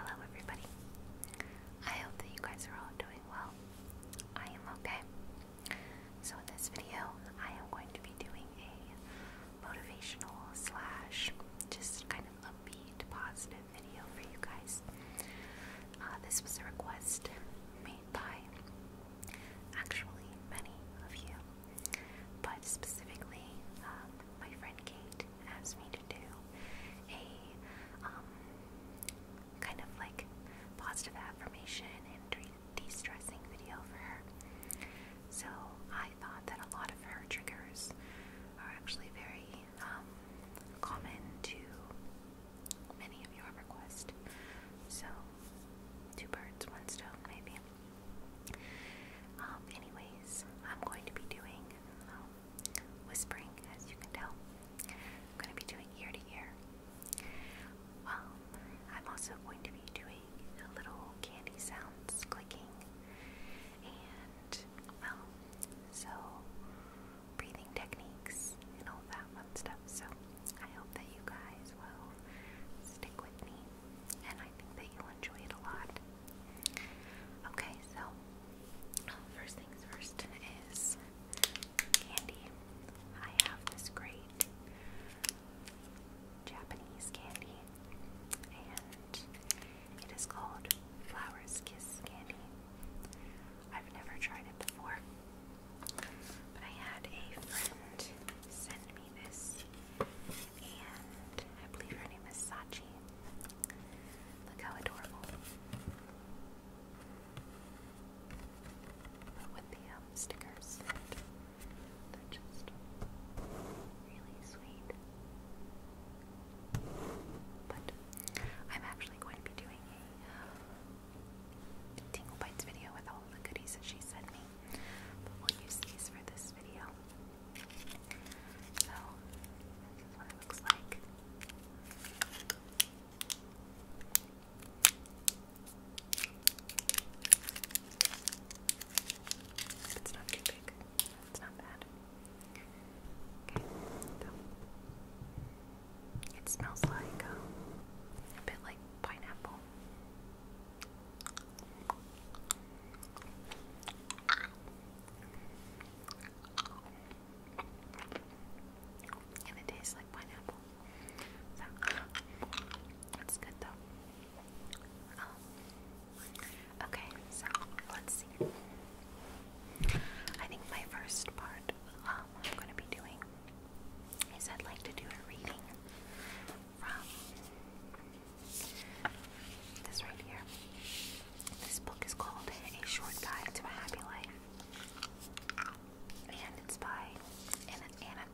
Hello, everybody. I hope that you guys are all doing well. I am okay. So, in this video, I am going to be doing a motivational slash just kind of upbeat, positive video for you guys. Uh, this was a request made by actually many of you, but specifically um, my friend Kate asked me to do a um, kind of like positive affirmation and de-stressing video for her. So I I thought that a lot of her triggers are actually very um, common to many of your requests. So, two birds, one stone, maybe. Um, anyways, I'm going to be doing um, whispering, as you can tell. I'm going to be doing ear to ear. Um, I'm also going to be doing the little candy sounds clicking. And, well, so breathing techniques and all that fun stuff. So, I hope that you guys will stick with me. And I think that you'll enjoy it a lot. Okay, so first things first is candy. I have this great Japanese candy, and it is called Flowers Kiss Candy. I've never tried it before, but I had a friend send me this, and I believe her name is Sachi. Look how adorable. with the um, stickers. They're just really sweet. But I'm actually going to be doing a uh, Tingle Bites video with all the goodies that she sent me. But we'll use these for this video. So, this what it looks like. It's not too big. It's not bad. Okay, so it smells like um, a bit like pineapple. And it tastes like pineapple. So, it's good though. Um, Okay, so let's see. I think my first part um, I'm going to be doing is I'd like to do a reading from this right here. This book is called A Short Guide to a Happy Life, and it's by Anna, Anna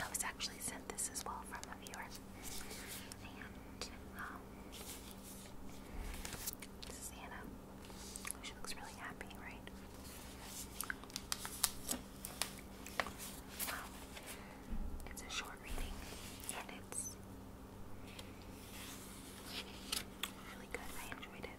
I was actually sent this as well from a viewer. And, um, this is Anna. She looks really happy, right? Um, it's a short reading, and it's really good. I enjoyed it.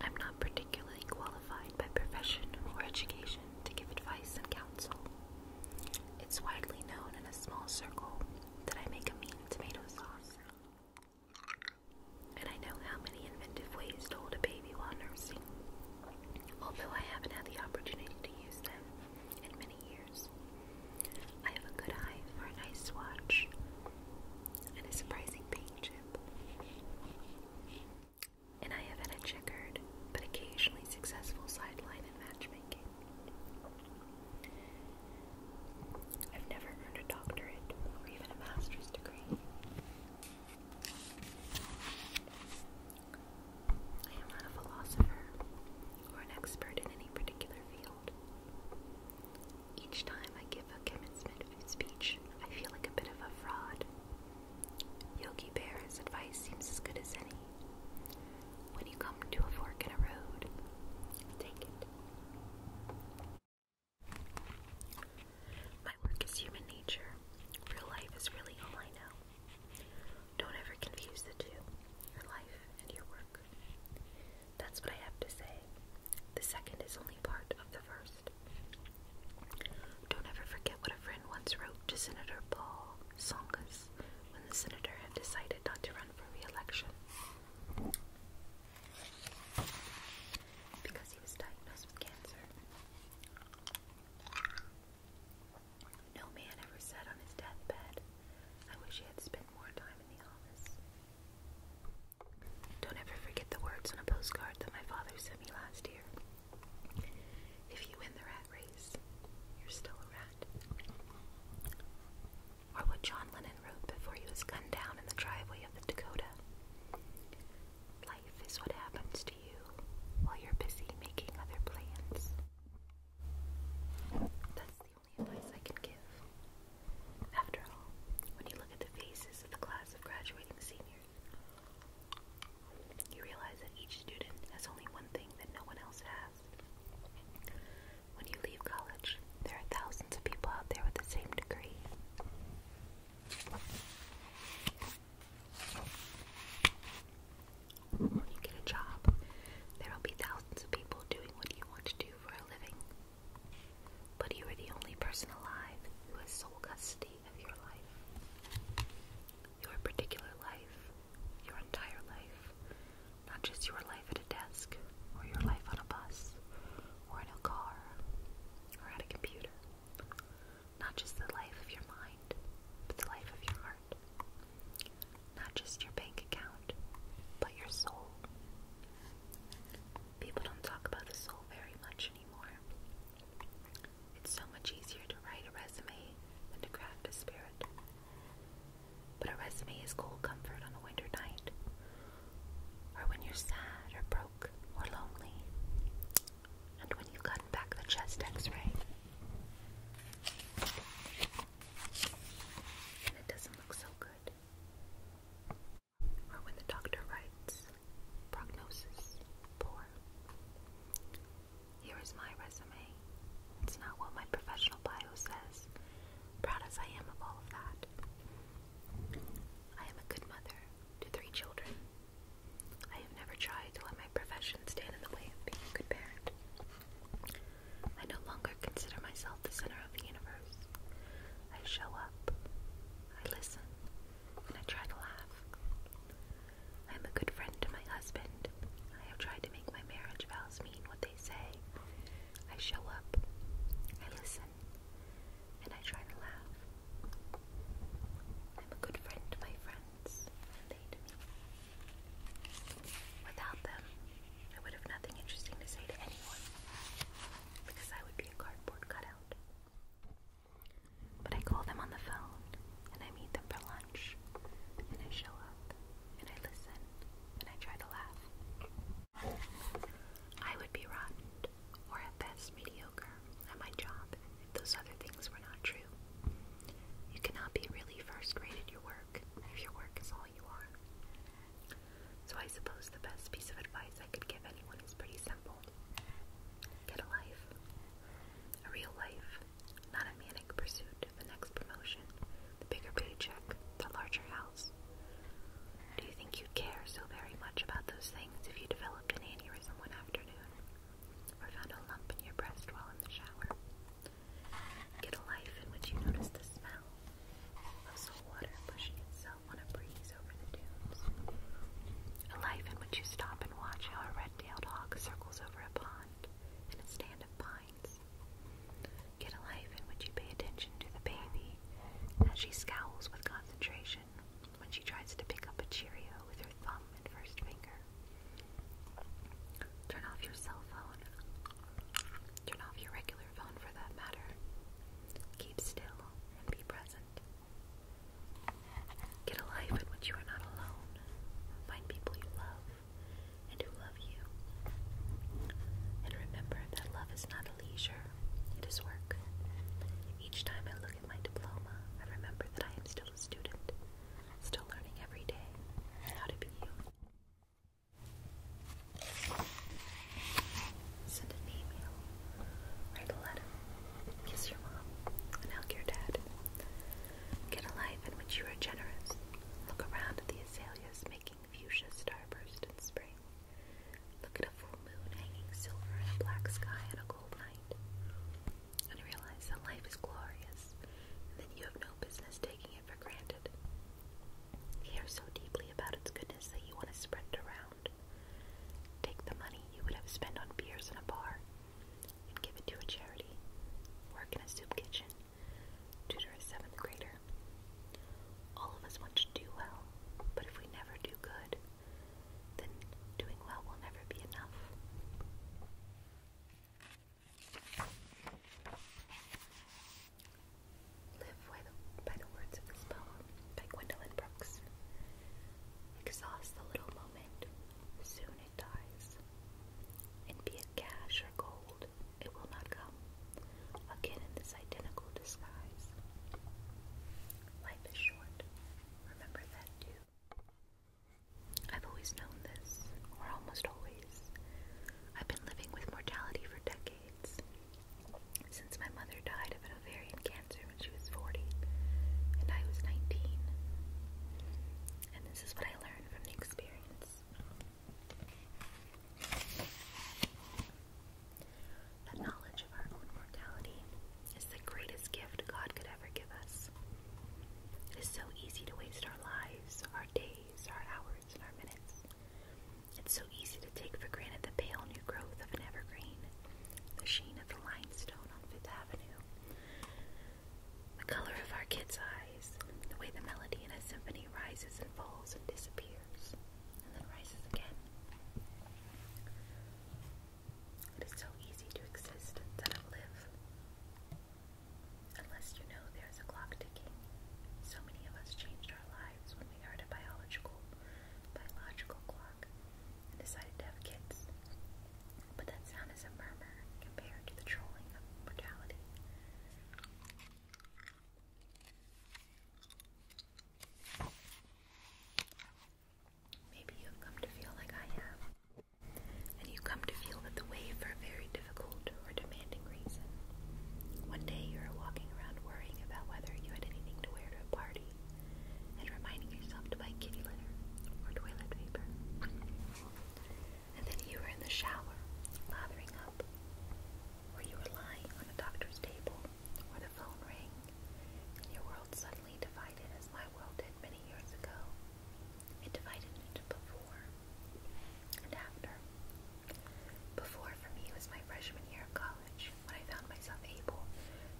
I'm not particularly qualified by profession or education to give advice and counsel. It's widely known in a small circle that I make a mean tomato sauce. And I know how many inventive ways to hold a baby while nursing, although I haven't had the opportunity to use them in many years. I have a good eye for a nice watch and a surprising paint chip. And I have had a checkered but occasionally successful sideline in matchmaking. I've never earned a doctorate or even a master's degree, I am not a philosopher or an expert in any particular field. Each time I give a commencement speech, I feel like a bit of a fraud. Yogi Bear's advice seems as good as any. When you come to a fork in a road, take it. My work is human nature. Real life is really all I know. Don't ever confuse the two your life and your work. That's what I have to say. The second is only part of the first. Don't ever forget what a friend once wrote to Senator Paul Tsongas when the senator had decided not to run for re election because he was diagnosed with cancer. No man ever said on his deathbed, I wish he had spent more time in the office. Don't ever forget the words on a postcard that my father sent me last year. If you win the rat race, you're still a rat. Or what John Lennon wrote before he was gunned down in the driveway of the Dakota. Life is what happens to you while you're busy making other plans. That's the only advice I can give. After all, when you look at the faces of the class of graduating seniors, you realize that each student has only one thing that no one else has. When you leave college, there are thousands of people out there with the same degree. When you get a job, there will be thousands of people doing what you want to do for a living. But you are the only person alive who has sole custody of your life. Your particular life, your entire life, not just your life at a desk, or your life on a bus, or in a car, or at a computer. Not just the life of your mind, but the life of your heart. Not just your bank account, but your soul. People don't talk about the soul very much anymore. It's so much easier to write a resume than to craft a spirit. But a resume is cold comfort on a winter night, or when you're sad or broke or lonely, and when you've gotten back the chest x ray. And it doesn't look so good. Or when the doctor writes, prognosis poor. Here is my resume. It's not what my professional bio says. Proud as I am of all of that. I am a good mother, to three children. I have never tried to let my profession stand in the way of being a good parent. I no longer consider myself the center of the universe. I show up, I listen, and I try to laugh. I am a good friend to my husband. I have tried to make my marriage vows mean what they say. I show up, I listen and I try to laugh. I'm a good friend to my friends, and they to me. Without them, I would have nothing interesting to say to anyone, because I would be a cardboard cutout. But I call them on the phone, and I meet them for lunch, and I show up, and I listen, and I try to laugh. I would be rotten, or at best mediocre, at my job if those other things were not true. You cannot be really first rate in your work if your work is all you are. So I suppose the best piece of advice I could give anyone is pretty simple. Get a life. A real life, not a manic pursuit of the next promotion, the bigger paycheck, the larger house. Do you think you'd care so very much about those things if you developed an aneurysm one afternoon? Or found a lump in your breast while in the shower? Get a life in which you notice the smell of salt water pushing itself on a breeze over the dunes. A life in which you stop and watch how a red-tailed hawk circles over a pond and a stand of pines. Get a life in which you pay attention to the baby as she scowls with concentration when she tries to pick up a Cheerio with her thumb and first finger. Turn off your cell phone. Turn off your regular phone for that matter. Keep still and be present. Get a life in which you are not alone. Find people you love and who love you. And remember that love is not a leisure, it is work. Each time I look at my diploma, I remember that I am still a student, still learning every day how to be you. Send an email, write a letter, kiss your mom, and hug your dad. Get a life in which you are generous. Look around at the azaleas making fuchsia starburst in spring spring. Look at a full moon hanging silver in a black sky on a cold night. And realize that life is glorious, and you have no business taking it for granted. Care so deeply about its goodness that you want to spread it around. Take the money you would have spent on beers in a bar and give it to a charity. Work in a soup kitchen. Tutor a seventh grader. All of us want to do well, but if we never do good, then doing well will never be enough. Live by the, words of this poem by Gwendolyn Brooks. Exhaust the little moment, soon it dies. And be it cash or gold, it will not come again in this identical disguise. Life is short. Remember that too. I've always known this, or almost always. I've been living with mortality for decades. Since my mother died of ovarian cancer when she was 40, and I was 19. And this is what I learned from the experience. The knowledge of our own mortality is the greatest gift God could ever give us. It is so easy to waste our lives, our days, our hours, and our minutes. It's so easy to take for granted the pale new growth of an evergreen, the sheen of the limestone on Fifth Avenue, the color of our kids' eyes, the way the melody in a symphony rises and falls and disappears, and then rises again. It is so easy to exist instead of live. Unless you know there is a clock ticking. So many of us changed our lives when we heard a biological, biological clock and decided to have kids. But that sound is a murmur compared to the trolling of mortality. Maybe you have come to feel like I have, and you come to feel that the way for a very difficult or demanding reason. One day you are walking around worrying about whether you had anything to wear to a party, and reminding yourself to buy kitty litter or toilet paper. And then you were in the shower, lathering up, or you were lying on a doctor's table, or the phone ring, and your world suddenly divided as my world did many years ago. It divided into before and after. Before for me was my freshman year of college, when I found myself able,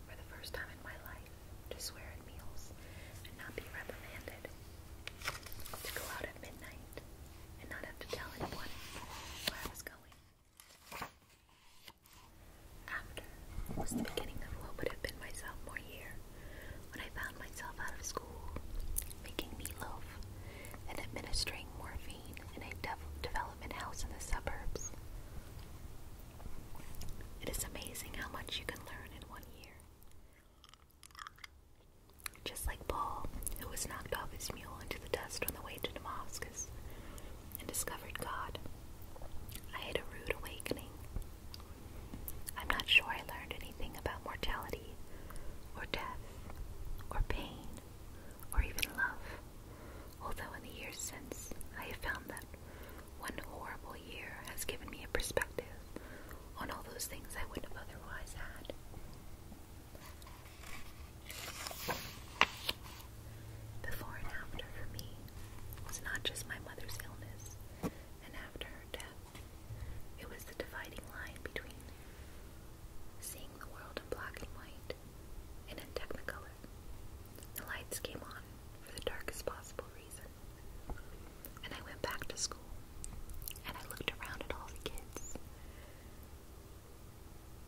for the first time in my life, to swear at meals and not be reprimanded, to go out at midnight and not have to tell anyone where I was going. After was the beginning of what would have been my sophomore year, when I found myself out of school, making meatloaf, and administering morphine in a development house in the suburbs. It is amazing how much you can learn in one year. Just like Paul, who was knocked off his mule into the dust on the way to Damascus, and discovered God. I had a rude awakening. I'm not sure I learned anything about mortality, or death, or pain, or even love, although in the years since, I have found that one horrible year has given me a perspective on all those things I wouldn't have otherwise had. Before and after for me was not just my mother's illness and after her death, it was the dividing line between seeing the world in black and white and in technicolor. The lights came on for the darkest possible reason. And I went back to school and I looked around at all the kids.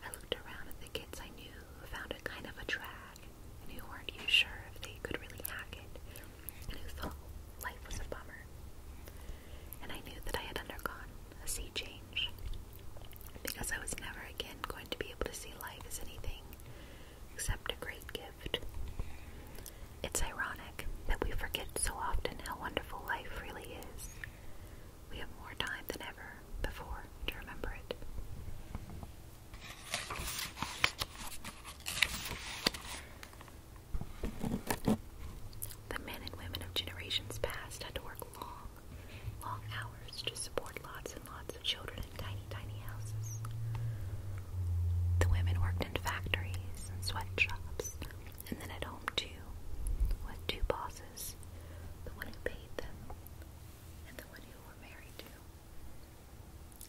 I looked around at the kids I knew who found it kind of a drag and who weren't even sure if they could really hack it and who thought life was a bummer. And I knew that I had undergone a sea change because I was never again going to be able to see life as anything except a great gift. It's ironic that we forget so often how wonderful life really is. We have more time than ever before to remember it. The men and women of generations past had to work long, long hours to support lots and lots of children in tiny, tiny houses. The women worked in factories and sweatshops, and then at home too, with two bosses the one who paid them and the one you were married to,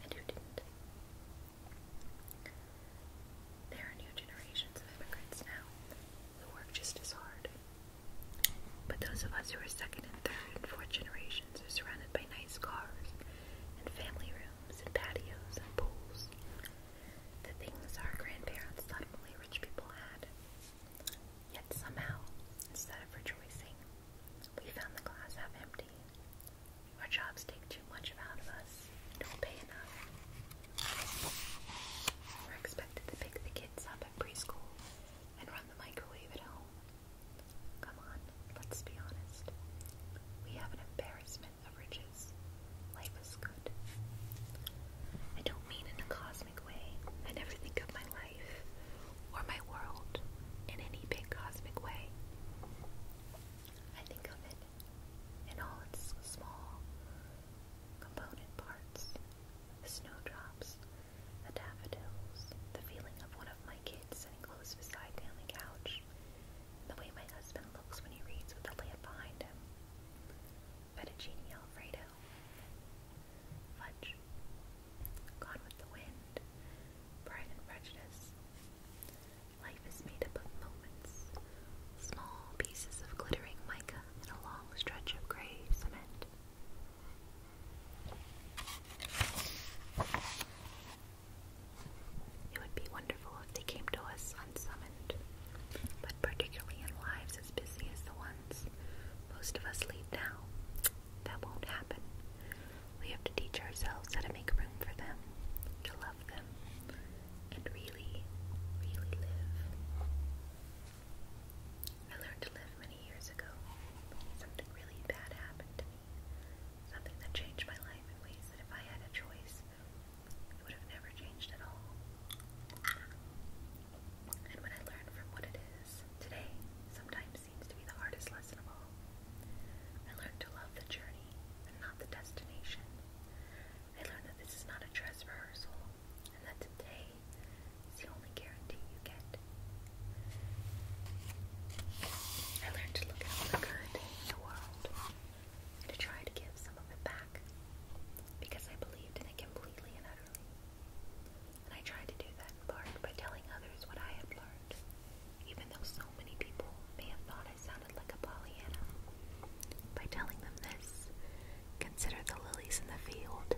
and who didn't. There are new generations of immigrants now who work just as hard. But those of us who are second and third and fourth generations are surrounded by nice cars and family rooms and patios and pools. The things our grandparents thought only rich people had. Yet somehow, instead of rejoicing, we found the glass half empty. Our jobs take too much out of us don't pay enough. We're expected to pick the kids up at preschool and run the microwave at home. Come on, let's be honest. We have an embarrassment of riches. Life is good. I don't mean in a cosmic way. I never think of my life or my world in any big cosmic way. I think of it in all its small component parts the snowdrops, the daffodils, the feeling of one of my kids sitting close beside me on the couch, the way my husband looks when he reads with the lamp behind him. But Fettuccine Alfredo Fudge, Gone with the Wind, Pride and Prejudice. Life is made up of moments, small pieces of glittering mica and a long stretch of grey cement. It would be wonderful if they came to us unsummoned, but particularly in lives as busy as the one most of us leave now. That won't happen. We have to teach ourselves how to make room for them, to love them, and really, really live. I learned to live many years ago. Something really bad happened to me. Something that changed my life in ways that if I had a choice, it would have never changed at all and when I learn from what it is, today sometimes seems to be the hardest lesson of all. I learned to love the journey not the destination. I learned that this is not a dress rehearsal and that today is the only guarantee you get. I learned to look at all the good in the world and to try to give some of it back because I believed in it completely and utterly. I tried to do that in part by telling others what I had learned, even though so many people may have thought I sounded like a Pollyanna. By telling them this, consider the lilies in the field.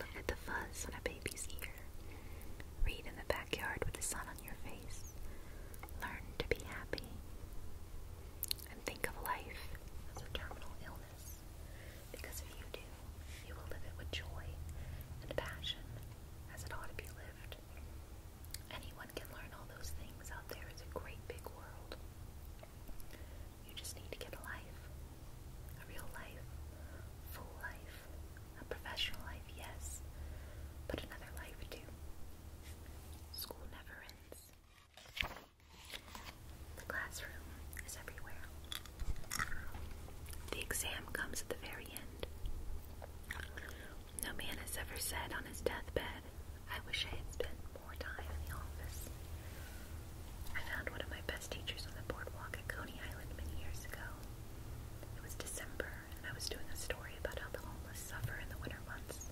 Look at the fuzz on a baby's ear. Read in the backyard with the sun on your face. Learn to be happy. And think of life as a terminal illness promise. Because if you do, you will live it with joy and passion as it ought to be lived. Anyone can learn all those things out there. It's a great big world. You just need to get a life. A real life. Full life. A professional life, yes. But another life too. School never ends. The classroom is everywhere. The exam comes at the very end. No man has ever said on his deathbed, I wish I had spent more time in the office. I found one of my best teachers on the boardwalk at Coney Island many years ago. It was December, and I was doing a story about how the homeless suffer in the winter months.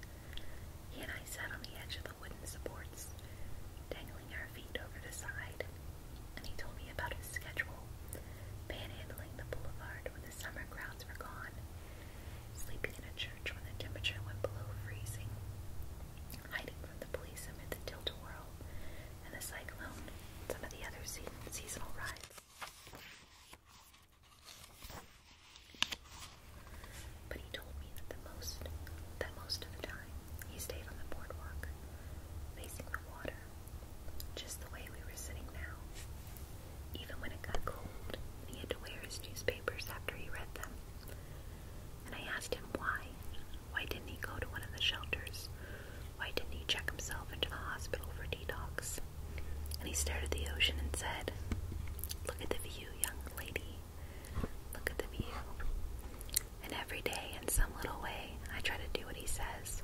He and I sat on the edge of the wooden supports, paddling feet over the side, and he told me about his schedule, panhandling the boulevard when the summer crowds were gone, sleeping in a church when the temperature went below freezing, hiding from the police amid the tilt-a-whirl and the cyclone, and some of the other seasonal rides. But he told me that most that most of the time he stayed on the boardwalk, facing the water, just the way we were sitting now. Even when it got cold, he had to wear his newspapers after he read them. And I asked him why. Why didn't he go to one of the shelters? Why didn't he check himself into the hospital for detox? And he stared at the ocean and said, Look at the view, young lady. Look at the view and every day, in some little way, I try to do what he says.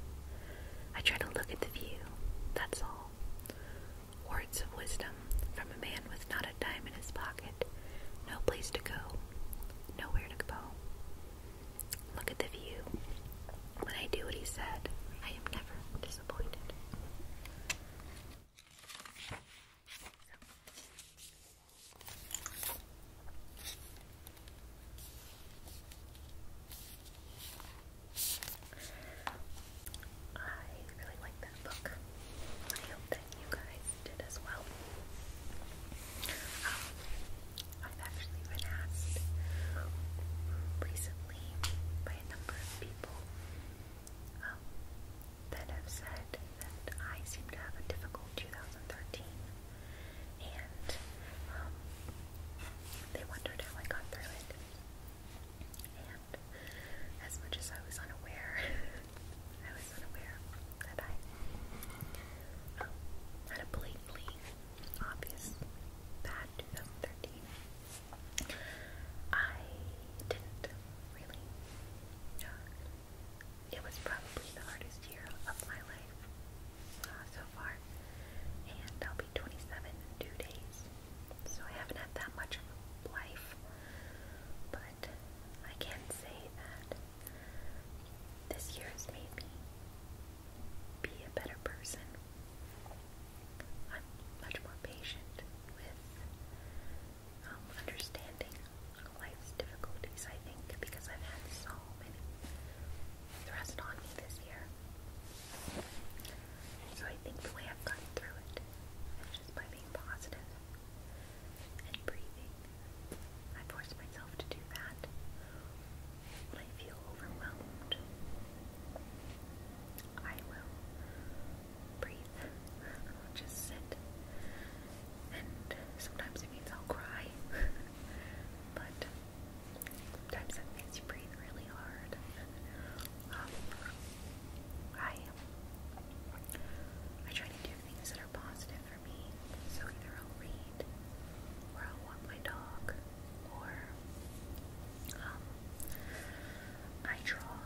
I try to look at the view, that's all. Words of wisdom from a man with not a dime in his pocket, no place to go, nowhere to go. Look at the view. When I do what he said, I am never disappointed. I really like that book. I hope that you guys did as well. Um, I've actually been asked recently by a number of people um, that have said that I seem to have a difficult 2013 and um, they wondered how I got through it. And as much as I was unaware, I was unaware that I um, had a blatantly obvious bad I didn't really uh, it was probably the hardest year of my life uh, so far, and I'll be 27 in two days, so I haven't had that much of a life, but I can not say that this year's made me be a better person. I'm much more patient with um, understanding life's difficulties, I think, because I've had so many thrust on me this year. So I think the way I've gotten through it is just by being positive and breathing. I force myself to do that when I feel overwhelmed. I will breathe. I will just sit and sometimes it means I'll cry, but sometimes it makes you breathe really hard. Um, I I try to do things that are positive for me, so either I'll read, or I'll walk my dog, or um, I draw,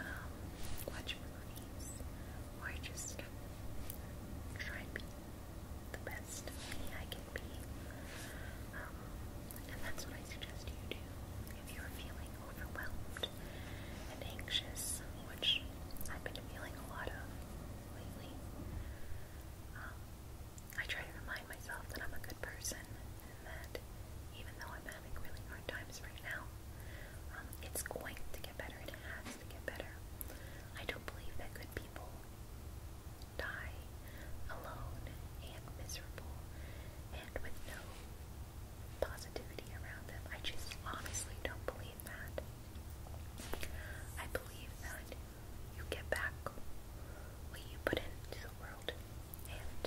um, watch movies, or I just try and be the best me I can be. Um, and that's what I suggest you do if you're feeling overwhelmed and anxious, which I've been feeling a lot of lately. Um, I try to remind myself that I'm a good person and that even though I'm having really hard times right now, um, it's going to get better and it get better. I don't believe that good people die alone and miserable and with no positivity around them. I just honestly don't believe that. I believe that you get back what you put into the world. And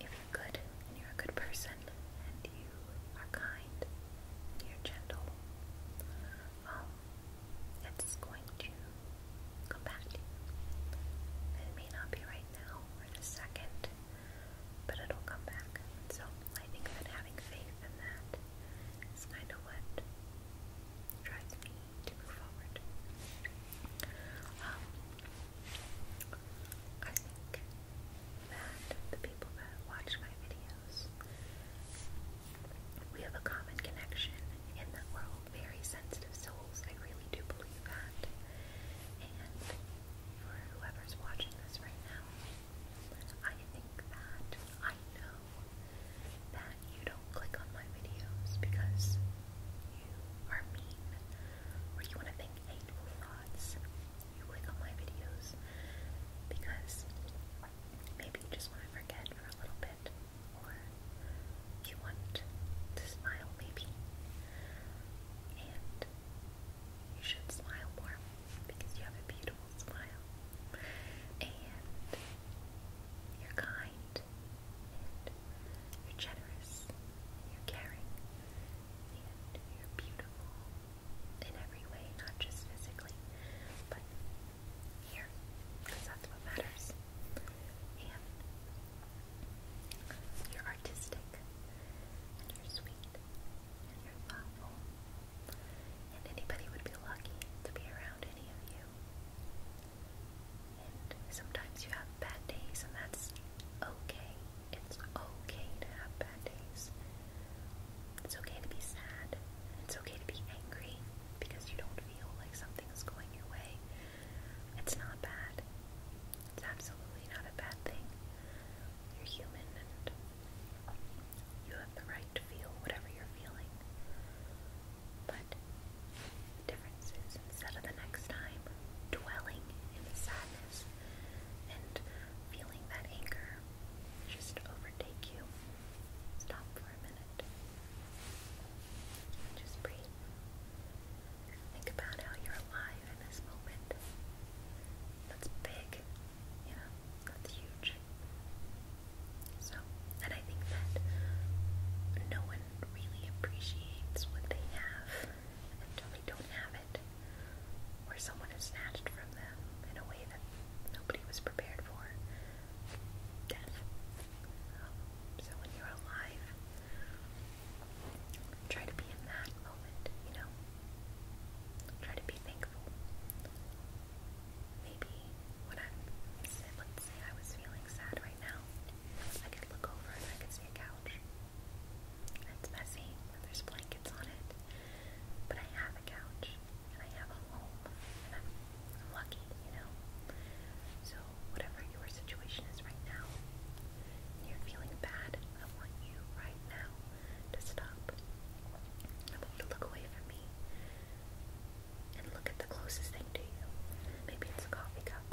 if you're good and you're a good person and you you are kind, you're gentle, um, it's going to come back It may not be right now or the second, but it'll come back. So I think that having faith in that is kind of what drives me to move forward. Um, I think that the people that watch my videos we have a common connection in that we're all very sensitive souls. I really do believe that. And for whoever's watching this right now, I think that I know that you don't click on my videos because you are mean or you want to think hateful thoughts. You click on my videos because Maybe you just want to forget for a little bit, or you want to smile, maybe. And you should smile more because you have a beautiful smile. And you're kind, and you're generous, and you're caring, and you're beautiful, in every way, not just physically, but here, because that's what matters. And you're artistic, and you're sweet, and you're thoughtful, and anybody would be lucky to be around any of you. And sometimes you have bad days, and that's okay. It's okay to have it's okay to be sad. It's okay to be angry because you don't feel like something is going your way. It's not bad. It's absolutely not a bad thing. You're human and you have the right to feel whatever you're feeling. But the difference is instead of the next time dwelling in the sadness and feeling that anger power just overtake you. Stop for a minute. Just breathe. Think about how you're alive in this moment. That's big, you that's huge. So, and I think that no one really appreciates what they have until they don't have it or someone had snatched from them in a way that nobody was prepared for death. so when you're alive, try to be in that moment, you know? Try to be thankful. Maybe when I'm, let's say I was feeling sad right now, I could look over and I could see a couch. It's messy there's blankets on it, but I have a couch and I have a home, and I'm, lucky, you know. So whatever your situation is right now, you're feeling bad, I want you right now to stop. I want you to look away from me and look at the closest thing to you. Maybe it's a coffee cup,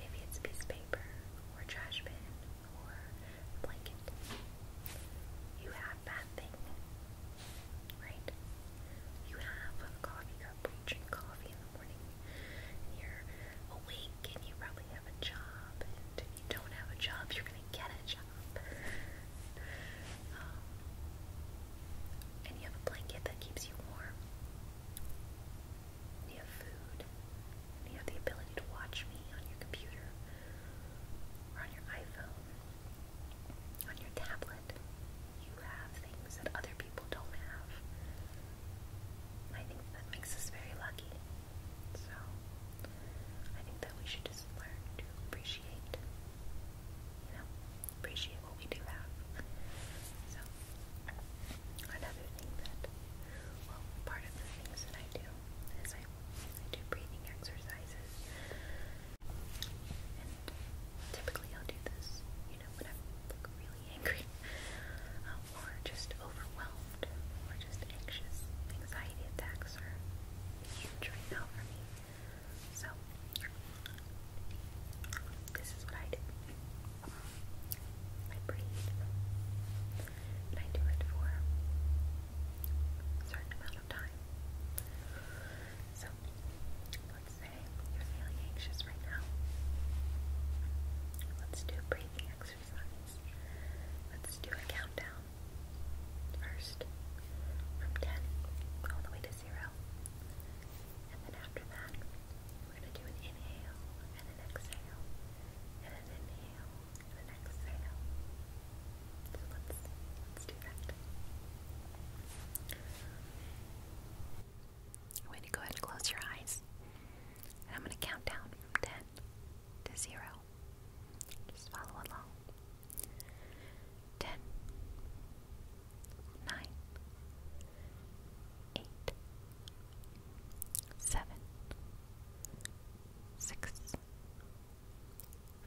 maybe it's a piece of paper, or a trash bin, or blanket. You have that thing, right? You have a coffee cup, you drink coffee in the morning, you're awake, and you probably have a job, and if you don't have a job, you're gonna get a job. Um, and you have a blanket that keeps you warm. You have food. you have the ability to watch me on your computer or on your iPhone on your tablet, you have things that other people don't have. I think that makes us very lucky. So, I think that we should just learn to appreciate, you know, appreciate what we do have. So, another thing that, well, part of the things that I do as I, do breathing exercises. And typically I'll do this, you know, when I'm like, really angry um, or just overwhelmed or just anxious. Anxiety attacks are huge right now for me. So, this is what I do. I breathe, and I do it for a certain amount so, let's say you're feeling anxious right now. Let's do breathing exercise. Let's do a countdown. First, from 10 all the way to 0. And then after that, we're going to do an inhale and an exhale, and an inhale and an I'm going to go ahead and close your eyes. And I'm going to count down from 10 to 0. Just follow along. 10,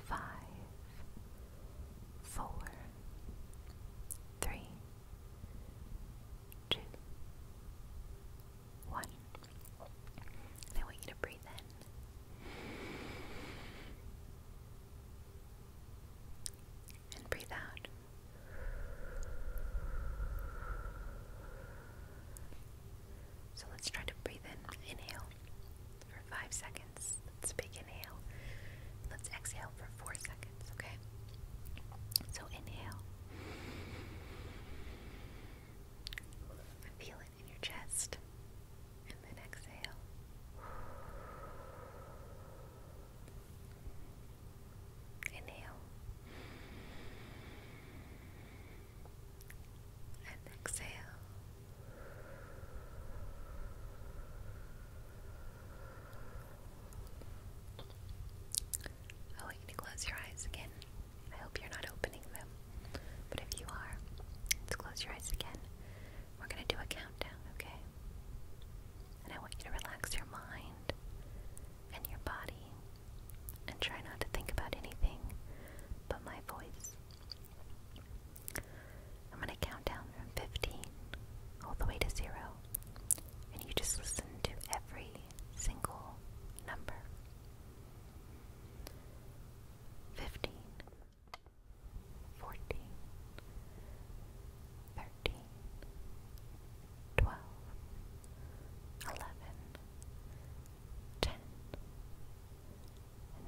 five, four, three, two, one. I want you to breathe in and breathe out. So let's try to breathe in. Inhale for five seconds. Let's big inhale. Let's exhale for four seconds, okay? So inhale. Feel it in your chest. And then exhale. Inhale and exhale. I oh, want you to close your eyes again. I hope you're not opening them, but if you are, let close your eyes again. We're going to do a countdown, okay? And I want you to relax your mind and your body and try not to think about anything but my voice. I'm going to count down from 15 all the way to 0, and you just listen to every single number. 15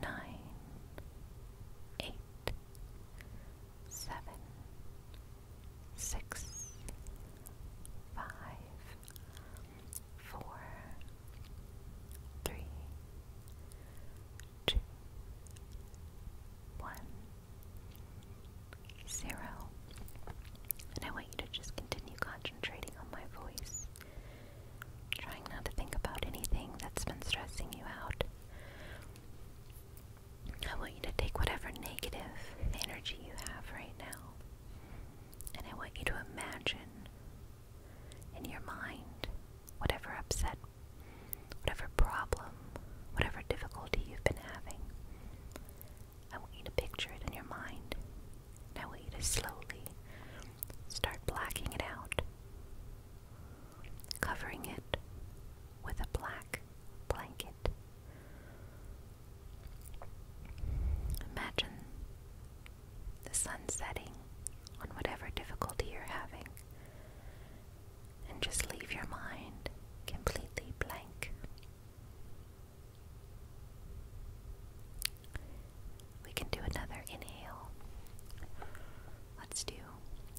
nine, eight, seven, six, five, four, three, two, one, zero. And I want you to just continue concentrating on my voice. Trying not to think about anything that's been stressing you out. I want you to take whatever negative energy you have right now, and I want you to imagine in your mind whatever upset, whatever problem, whatever difficulty you've been having. I want you to picture it in your mind, Now, I want you to slowly start blacking it out covering it with a black blanket. Imagine the sun setting on whatever difficulty you're having, and just leave your mind completely blank. We can do another inhale. Let's do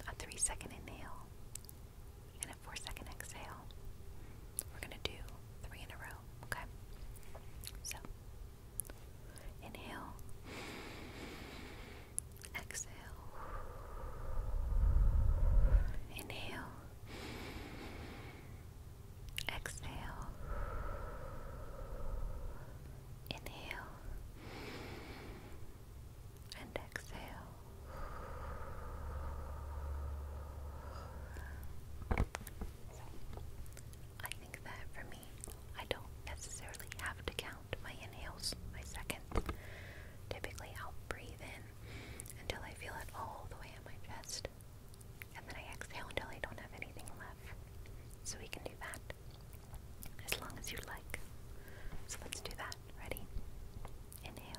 a three second inhale and a four second exhale. We're going to do three in a row, okay? So, inhale, exhale, inhale, exhale, Inhale and exhale. I think that for me, I don't necessarily have to count my inhales, my second, Typically, I'll breathe in until I feel it all the way in my chest, and then I exhale until I don't have anything left. So, we can do that as long as you like. So let's do that. Ready? Inhale.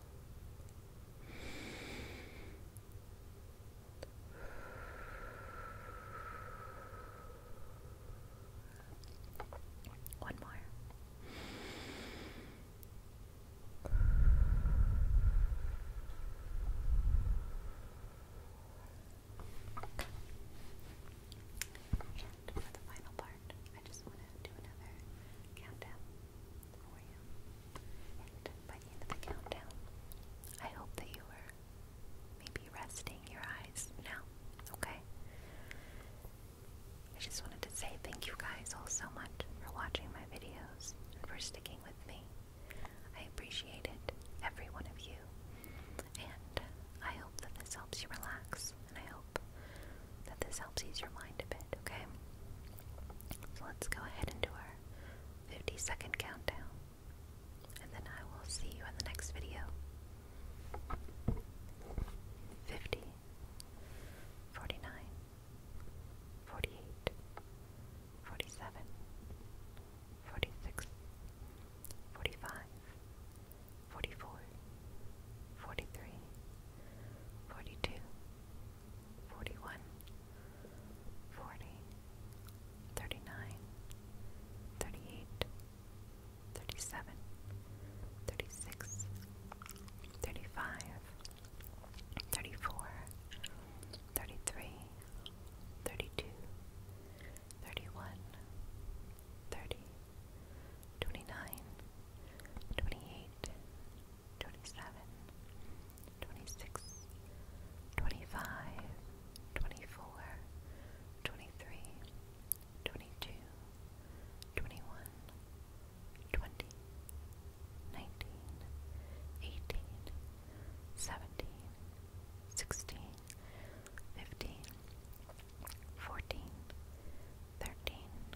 One more. And for the final part, I just want to do another countdown. And by the end of the countdown, I hope that you were maybe resting your eyes now, okay? I just wanted to say thank you guys all so much for watching my videos and for sticking with me. I appreciate it, every one of you. And I hope that this helps you relax, and I hope that this helps ease your mind a bit, okay? So let's go ahead and do our 50 second countdown, and then I will see you in the next video. 50, 43 42 41 37 36 35 34 33 32 31 29 28 twenty-seven, twenty-six, twenty-five, twenty-four, twenty-three, twenty-two, twenty-one, twenty, nineteen, eighteen, seventeen, sixteen, fifteen, fourteen, thirteen.